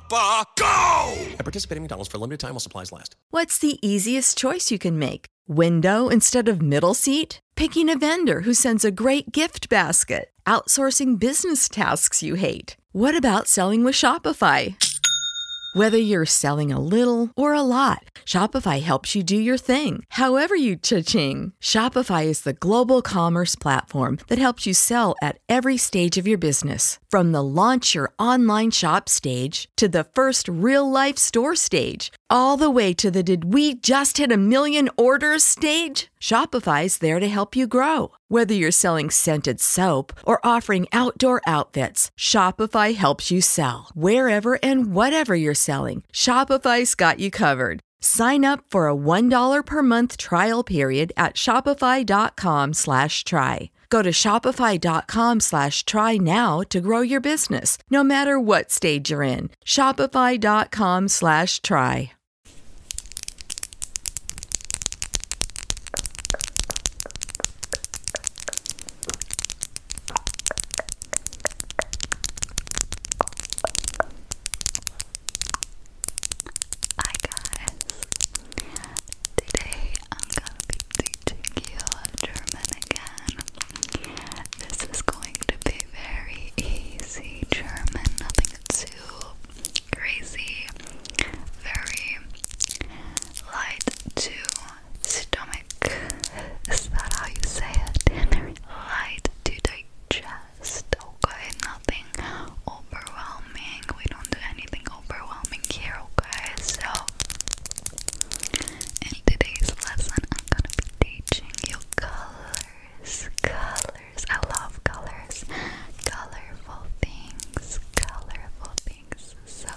Papa, go! McDonald's for limited time while supplies last. What's the easiest choice you can make? Window instead of middle seat? Picking a vendor who sends a great gift basket? Outsourcing business tasks you hate? What about selling with Shopify? Whether you're selling a little or a lot, Shopify helps you do your thing, however you cha-ching. Shopify is the global commerce platform that helps you sell at every stage of your business, from the launch your online shop stage to the first real life store stage, all the way to the did we just hit a million orders stage? Shopify's there to help you grow. Whether you're selling scented soap or offering outdoor outfits, Shopify helps you sell. Wherever and whatever you're selling, Shopify's got you covered. Sign up for a $1 per month trial period at Shopify.com slash try. Go to Shopify.com slash try now to grow your business, no matter what stage you're in. Shopify.com slash try. Hi guys! Today I'm gonna be teaching you German again. This is going to be very easy German, nothing too crazy, very light to stomach. Is that how you say it? light to digest still good, nothing overwhelming. We don't do anything overwhelming here, guys. So, in today's lesson, I'm gonna be teaching you colors. Colors. I love colors. Colorful things. Colorful things. So,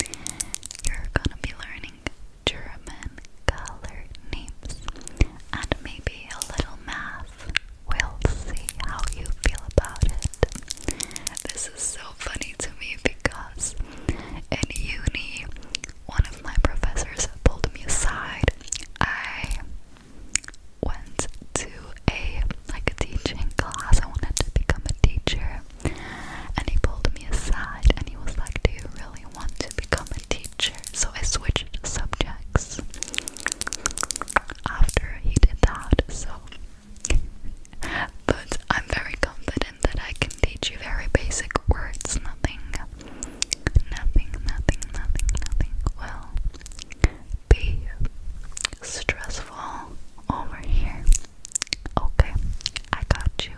you're gonna be learning German color names and maybe a little math we'll see how you feel about it. This is so funny to me because in uni, one of my professors pulled me aside. I went to a like a teaching class. I wanted to become a teacher. And he pulled me aside and he was like, Do you really want to become a teacher? So I switched subjects after he did that, so but I'm very confident that I can teach you very basic words, nothing nothing, nothing, nothing, nothing will be stressful over here. Okay, I got you.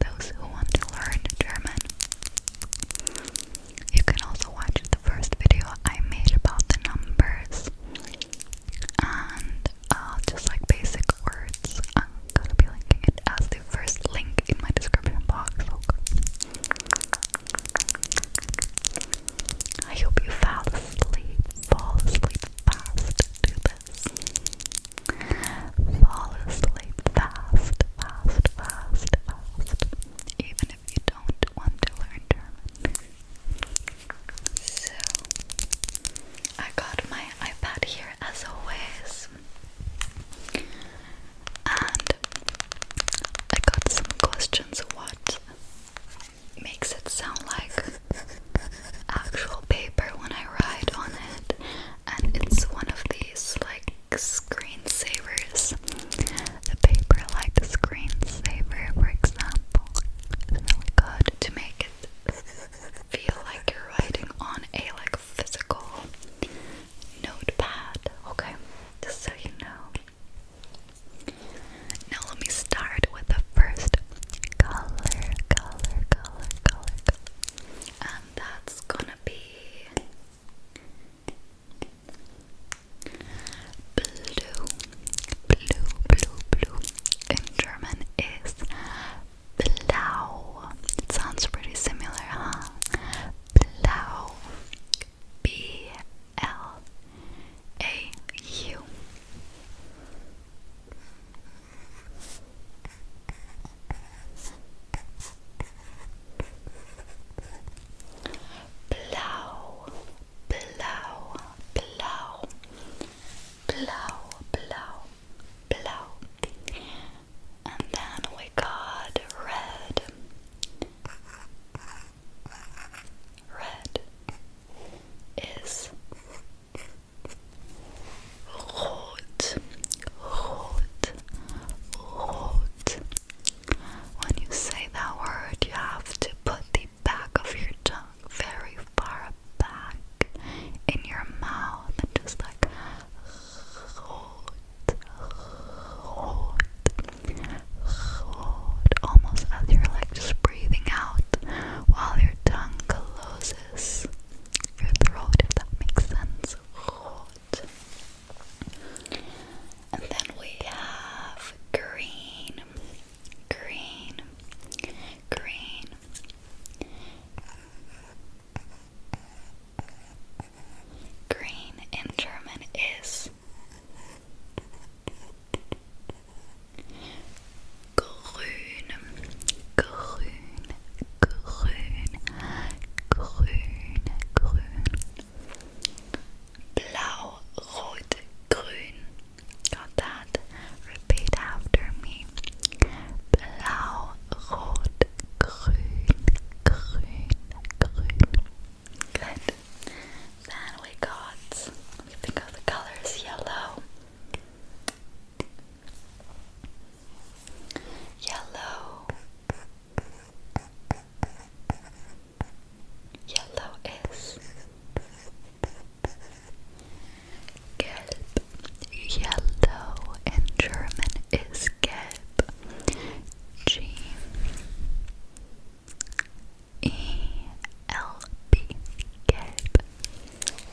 Those who want to learn German you can also watch the first video I made about the numbers and uh, just like basic words. I'm gonna be linking it as the first link in my description box. Okay. I hope you fall asleep, fall asleep fast to this. Fall asleep fast, fast, fast, fast even if you don't want to learn German. So, I got my iPad here as always, and I got some questions what makes it sound like actual paper when I write on it, and it's one of these like screensavers. The paper like the screensaver, for example, is really good to make it feel like you're writing on a like physical notepad. Okay, just so you know. Now let me start with the first color, color, color, color. And that's gonna be Blue, blue, blue, blue in German is blau. It sounds pretty similar, huh? Blau, B L A U. Blau, blau, blau, blau, blau, blau. And then we got red, red is rot, rot, rot. When you say that word, you have to put the back of your tongue very far back in your mouth and just like rot, rot, rot, almost as you're like just breathing out while your tongue closes your throat, if that makes sense. And then we have green, green, green. Green in German is grün, grün, Green, grün, grün. Blau, rot, grün. Got Repeat after me. Blau, rot, grün, grün, grün. Good. Then we got, let think of the colors, yellow, Yellow. Yellow is gelb. Yellow in German is gelb. G E L B gelb.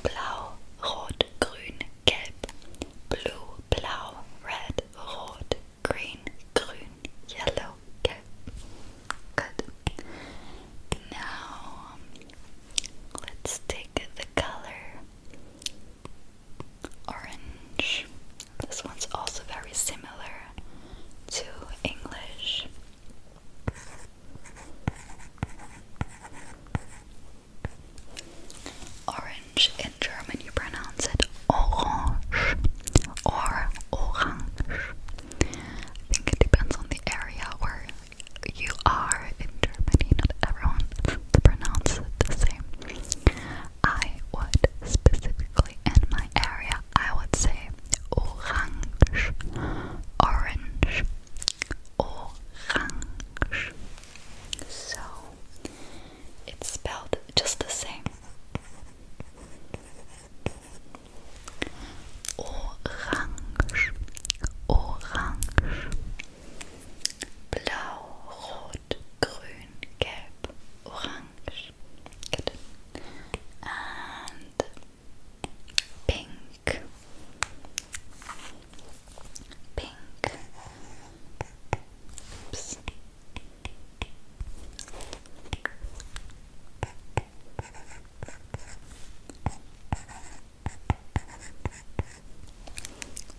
Blau, rot, grün, gelb blue, blau, red, rot, green, grün, yellow, gelb. Good. Now um, let's take the color orange. This one's also very similar to English. Orange in German you pronounce it orange or orange. I think it depends on the area where you are in Germany. Not everyone pronounces it the same. I would specifically in my area I would say orange, orange, orange. So it's spelled just the same. Orange, orange, blau, rot, grün, gelb, orange. Good. And pink, pink. Oops.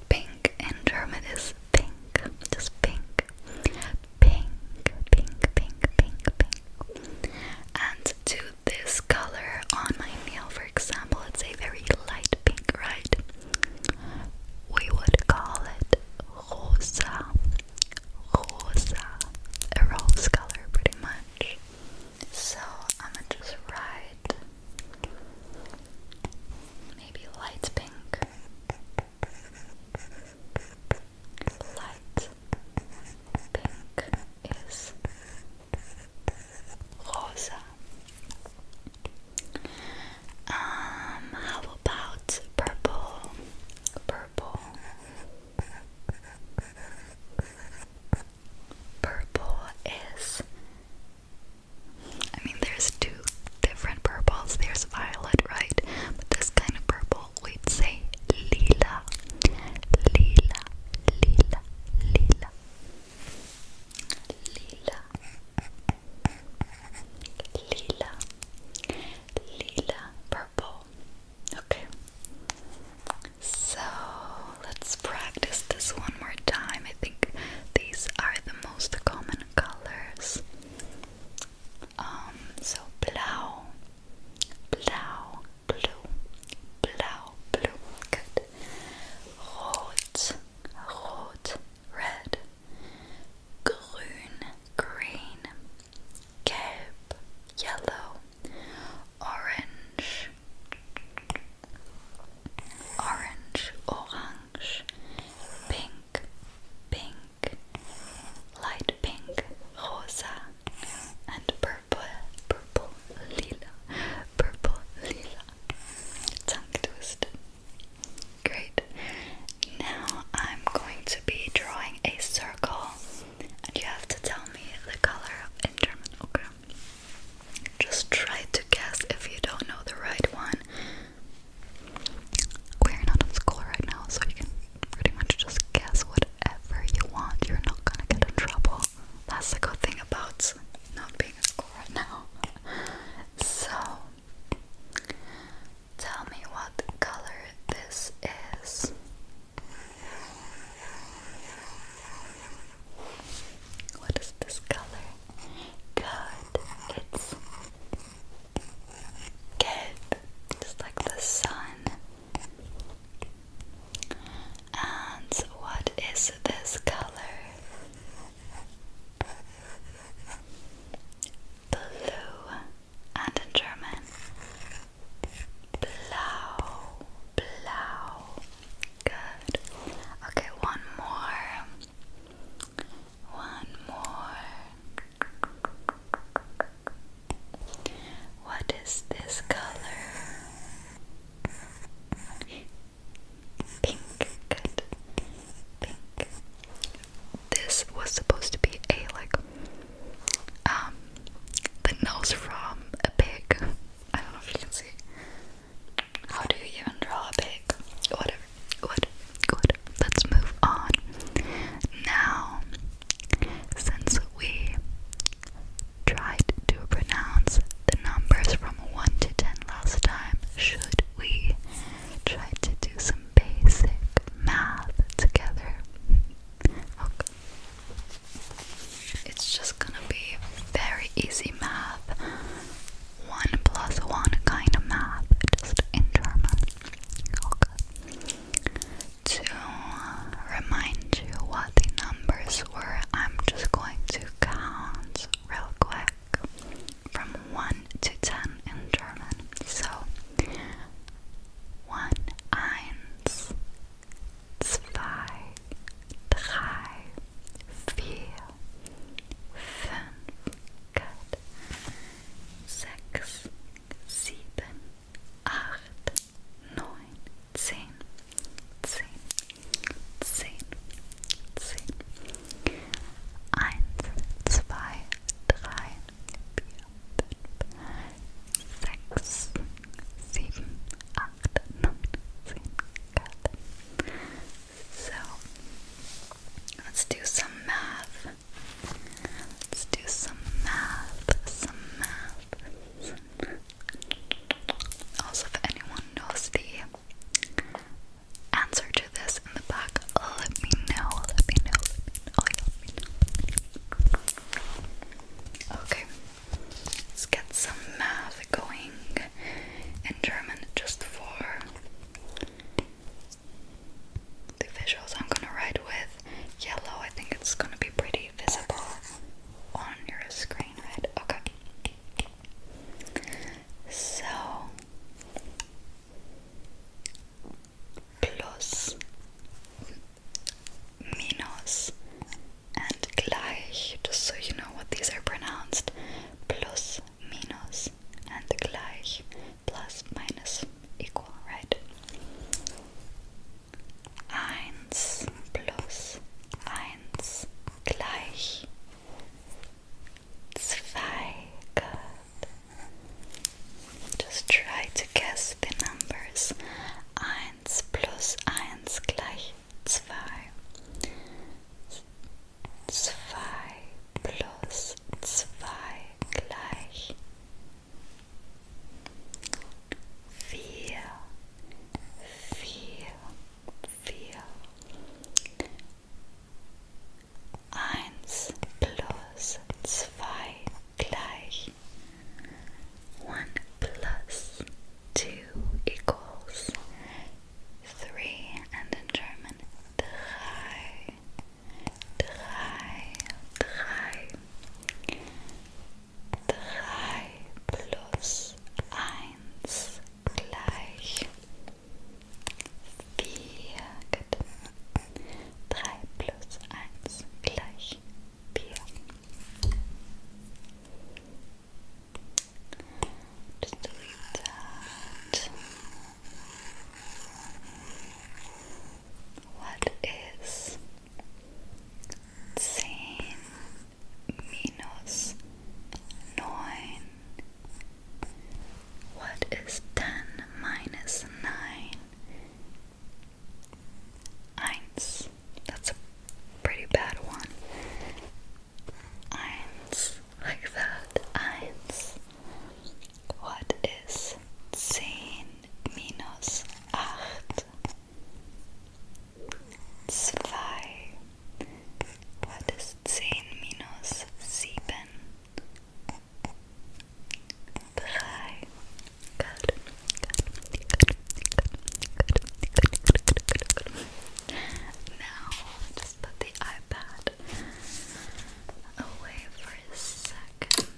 Pink in German is pink, just pink, pink, pink, pink, pink, pink. And to this color on my nail, for example, example, it's a very light pink, right? We would call it rosa, rosa, a rose color, pretty much. So I'm gonna just write maybe light pink, light pink is um, how about purple? Purple. Purple is. I mean, there's two different purples. There's violet, right? But this kind of purple, we'd say lila. Lila, lila, lila lila lila lila purple okay so let's practice this one more time I think these are the most common colors um so blau blau blue, blau, blue, good. Rot, red. Grün, green. Gelb, yellow. orange, orange. Pink, pink. Light pink, rosa, and purple purple, purple, lila, purple, lila. Tongue twisted. Great. Now I'm going to be drawing a circle, and you have to tell me the color in German. Okay. Just try to guess if you don't know the right one. We're not in school right now, so you can pretty much just guess whatever you want. You're not gonna get in trouble. That's the good thing about not being at school right now. So, tell me what color this is. What is this color? Good. It's good. Just like the sun. And what is this color? Blue, and in German, blau, blau. Good. Okay, one more. One more. What is this color? Pink. Good. Pink. This was supposed to be a like um the nose from a pig. I don't know if you can see. How do you even draw a pig? Whatever. Good. Let's move on. Now since we tried to pronounce the numbers from 1 to 10 last time. Should we try to do some basic math together? Okay. It's just gonna be very easy math. 1 plus 1 kind of math, just in German. Okay to remind you what the numbers were, I'm just going to count real quick from 1 to 10 in German. So, 1, 1, 2, 3, 4, 5, good, 6, 7, 8, neun, So let's do some math. Let's do some math, some math. Also, if anyone knows the answer to this in the back, let me know. Let me know. Okay, let's get some math going in German just for the visuals. I'm gonna write with yellow, I think it's gonna be pretty visible on your screen, right? Okay. So plus, minus, and gleich, just so you know what these are pronounced. Plus, minus, and gleich, plus, minus, equal, right? 1 plus 1 gleich 2. Good. Just try to guess the numbers. 1 plus 1 gleich 2. 2 plus 2 gleich vier, One plus two equals three, and in German, drei, drei, drei. 3 plus 1 gleich vier. 3 plus 1 gleich vier. Just What is zehn minus What is ten minus nine? Eins. That's a pretty bad one. Eins. Like Eins. What is zehn minus acht, zwei, what is zehn minus sieben, drei, good, good, good, good, good, good. Now, just put the iPad away for a second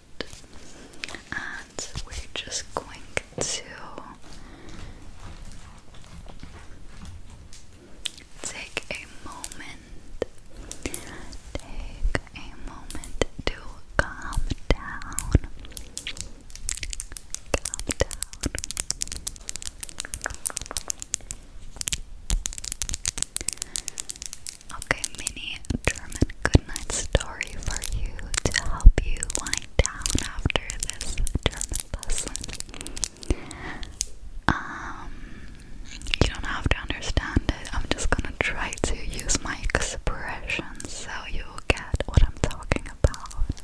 and we're just going to take a moment, take a moment to calm down, calm down. Okay, mini German goodnight story for you to help you wind down after this German lesson. Um, you don't have to understand it. I'm just gonna try to use my expressions so you'll get what I'm talking about.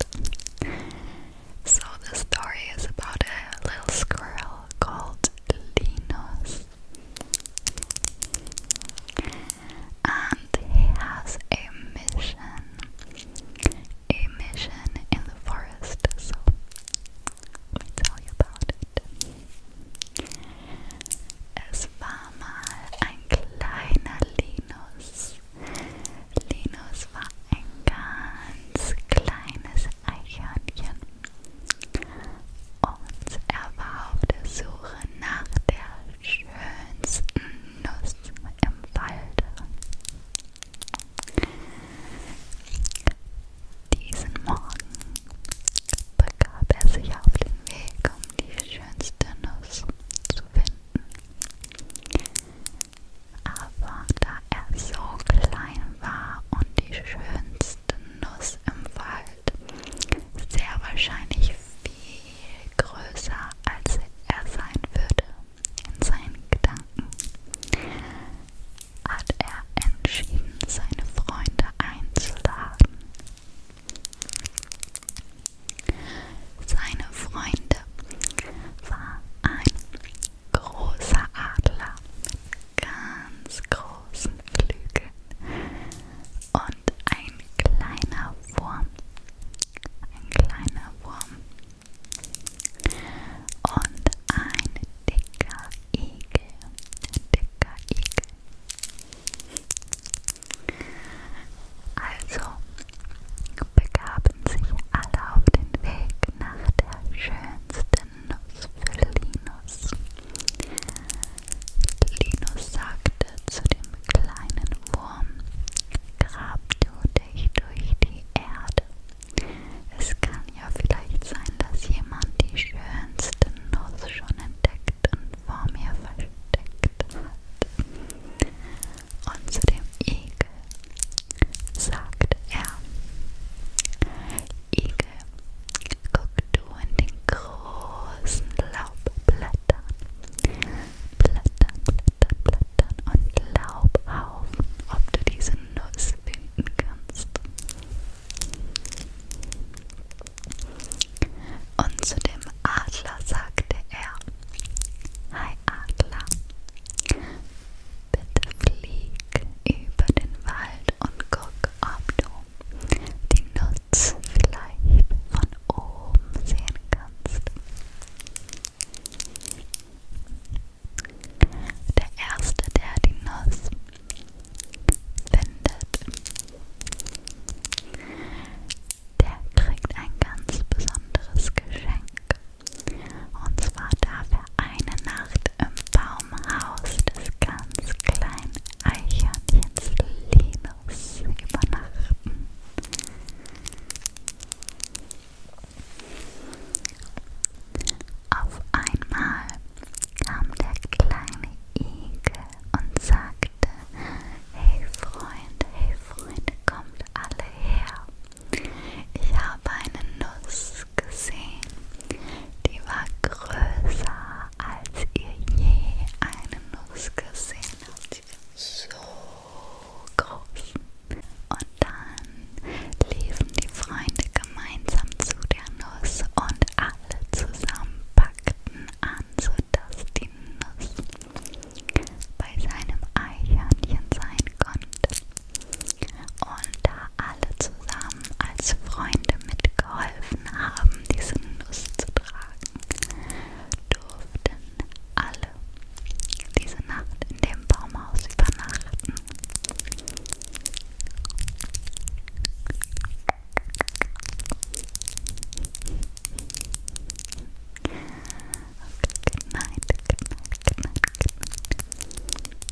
So the story is about a little squirrel called Linus. And he has a mission. A mission in the forest, so let me tell you about it. Es war mal ein kleiner Linus. Linus war ein ganz kleines Eichhörnchen. Und er war auf der Suche nach der schönsten Nuss im Walde. Diesen Morgen begab er sich auf den Weg, um die schönste Nuss zu finden. Aber da er so klein war und die schönste Nuss im Wald Wald sehr wahrscheinlich viel größer, als er sein würde. In seinen Gedanken hat er entschieden, seine Freunde einzuladen. Seine Freunde war ein großer Adler mit ganz großen Flügeln. Und ein kleiner Wurm. Ein kleiner Wurm. Und ein dicker Igel. Ein dicker Igel. Also begaben sich alle auf den Weg nach der schönsten Nuss für Linus. Linus sagte zu dem kleinen Wurm, grab du dich durch die Erde. Es kann ja vielleicht sein, dass jemand die schönste Nuss schon entdeckt und vor mir versteckt hat. Und zu dem Igel sagte er, Igel guckte an den großen Laubblättern, Blättern, Blättern, Blättern und Laubhaufen, ob du diese Nuss finden kannst. Und zu dem Adler sagte er, Hi Adler, bitte flieg über den Wald und guck, ob du die Nuts vielleicht von oben sehen kannst. Der erste, der die Nuss findet, der kriegt ein ganz besonderes Geschenk. Und zwar darf eine Nacht im Baumhaus des ganz kleinen Eichhörnchens Linus übernachten. Auf einmal kam der kleine Igel und sagte, Hey Freund, hey Freund, kommt alle her. Ich habe eine Nuss Brust gesehen, die war größer, als ihr je eine Nuss gesehen habt. So groß. Und dann liefen die Freunde gemeinsam zu der Nuss und alle zusammen packten an, sodass die Nuss bei seinem Eichhörnchen sein konnte und da alle zusammen als Freunde mitgeholfen haben, diese Nuss zu tragen, durften alle diese Nacht in dem Baumhaus übernachten. Okay, good night, good night, good night, good night.